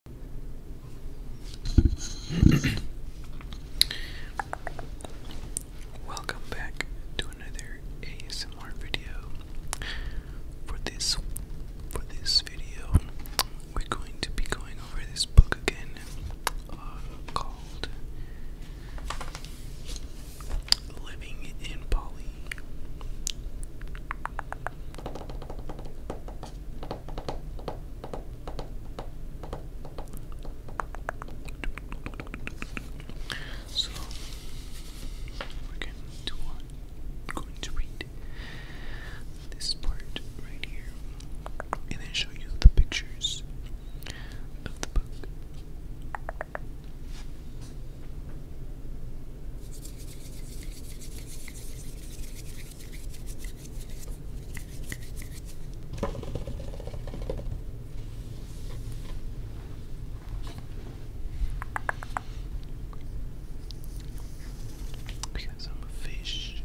Welcome back to another ASMR video. For this for this video, we're going to be going over this book again uh, called Living in Poly. So we're going to want, going to read this part right here, and then show you the pictures of the book. Because I'm a fish.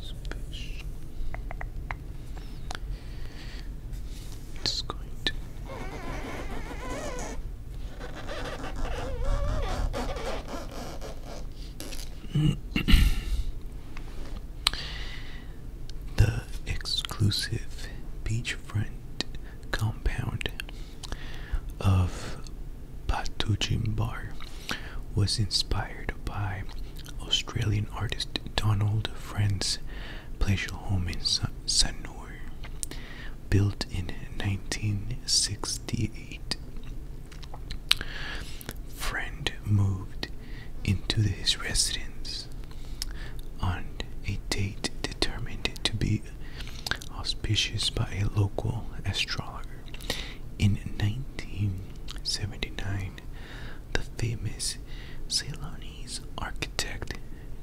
It's fish. Just going to the exclusive beachfront compound of Patuchimbar was inspired by Australian artist Donald Friend's pleasure home in Sanur built in 1968. Friend moved into his residence on a date determined to be auspicious by a local astrologer. In 1979, the famous Ceylonese architect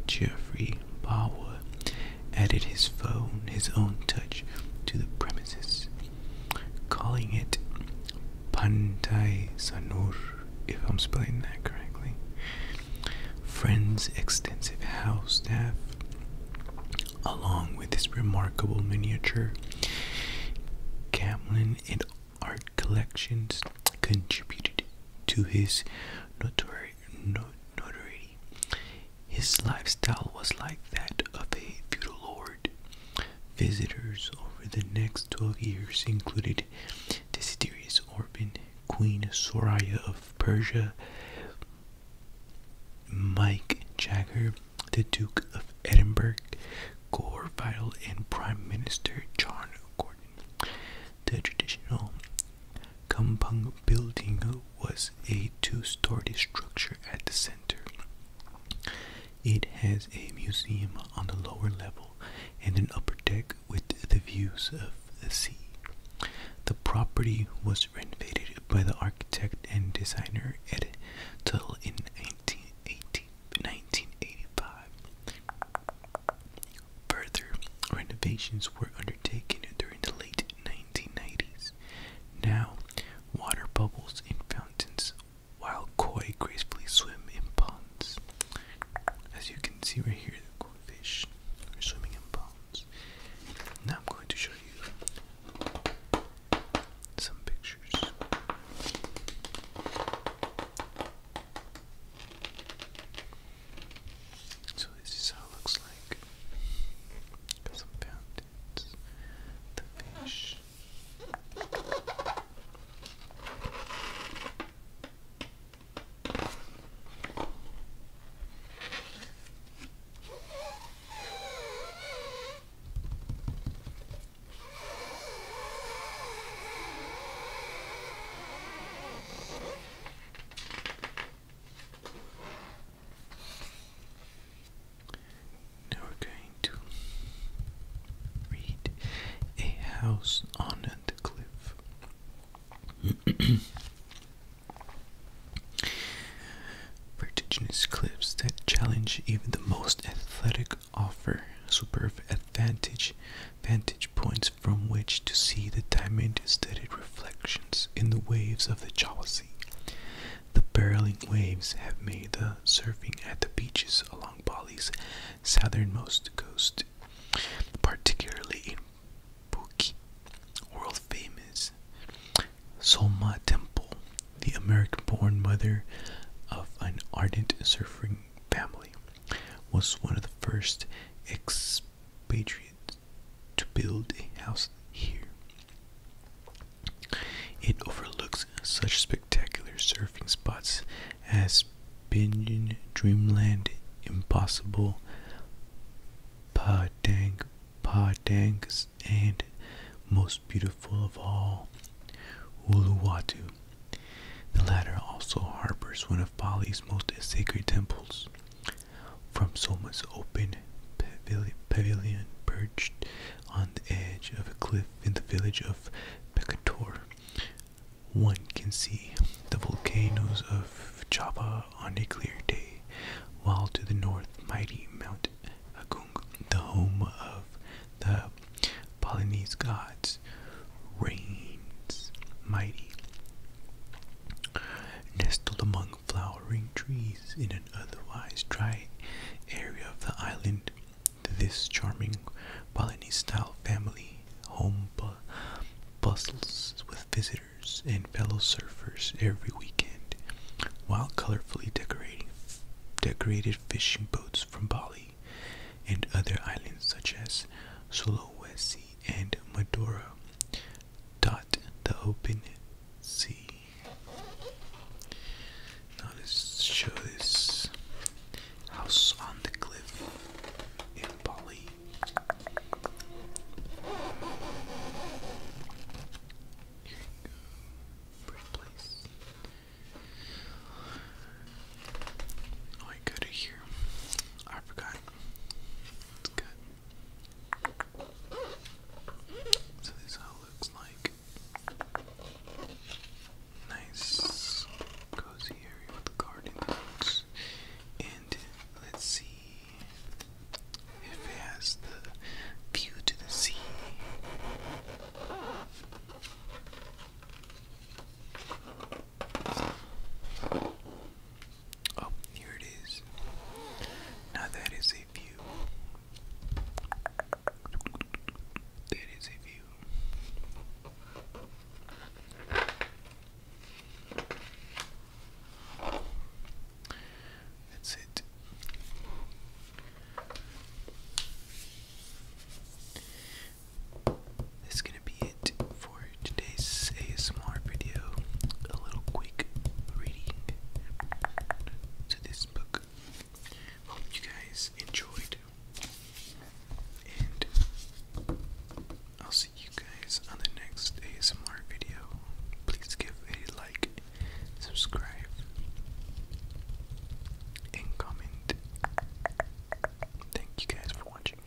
Geoffrey Bawa added his phone, his own touch, to the premises, calling it Pantai Sanur, if I'm spelling that correctly. Friend's extensive house staff, along with his remarkable miniature Camlin and art collections, contributed to his notoriety his lifestyle was like that of a feudal lord. Visitors over the next 12 years included Desiderius Orban, Queen Soraya of Persia, Mike Jagger, the Duke of Edinburgh, Gore Vidal, and Prime Minister John Gordon. The traditional Kampung building was a two-story structure at the center. It has a museum on the lower level and an upper deck with the views of the sea. The property was renovated by the architect and designer Ed Tuttle in 1980, 1985. Further renovations were undertaken during the late 1990s. Now, water bubbles in fountains while koi gracefully swim in ponds. As you can see right here, the koi fish are swimming in ponds. Now I'm going to show you some pictures. So this is how it looks like. Got some fountains, the fish. Now we're going to read A House on a Cliff. Vertiginous cliffs that challenge even the most athletic offer superb advantage vantage points from which to see the diamond studded reflections in the waves of the Jawa Sea. The barreling waves have made the surfing at the beaches along Bali's southernmost coast, particularly in world famous. Solma Temple, the American born mother of an ardent surfing family, was one of the first Patriots to build a house here. It overlooks such spectacular surfing spots as Binion, Dreamland, Impossible, Padang, Padangs, and most beautiful of all, Uluwatu. The latter also harbors one of Bali's most sacred temples, from Soma's open pavilion perched on the edge of a cliff in the village of Pekator, one can see the volcanoes of Java on a clear day, while to the north mighty Mount Agung, the home of the Polynesian gods, reigns mighty. Nestled among flowering trees in an otherwise dry area of the island. This charming Balinese style family home bu bustles with visitors and fellow surfers every weekend, while colorfully decorated fishing boats from Bali and other islands such as Sulawesi and Madura dot the open sea. Now let's show house on the cliff in Bali. Here you go, pretty place. Oh, I go to here. I forgot. It's good. So this is looks like. Nice cozy area with gardens. And let's see if it has the view to the sea. Oh, here it is. Now that is a view. That is a view. That's it. That's gonna be it for today's ASMR video. A little quick reading to this book. Hope you guys enjoyed, and I'll see you guys on the next ASMR video. Please give a like, subscribe, and comment. Thank you guys for watching.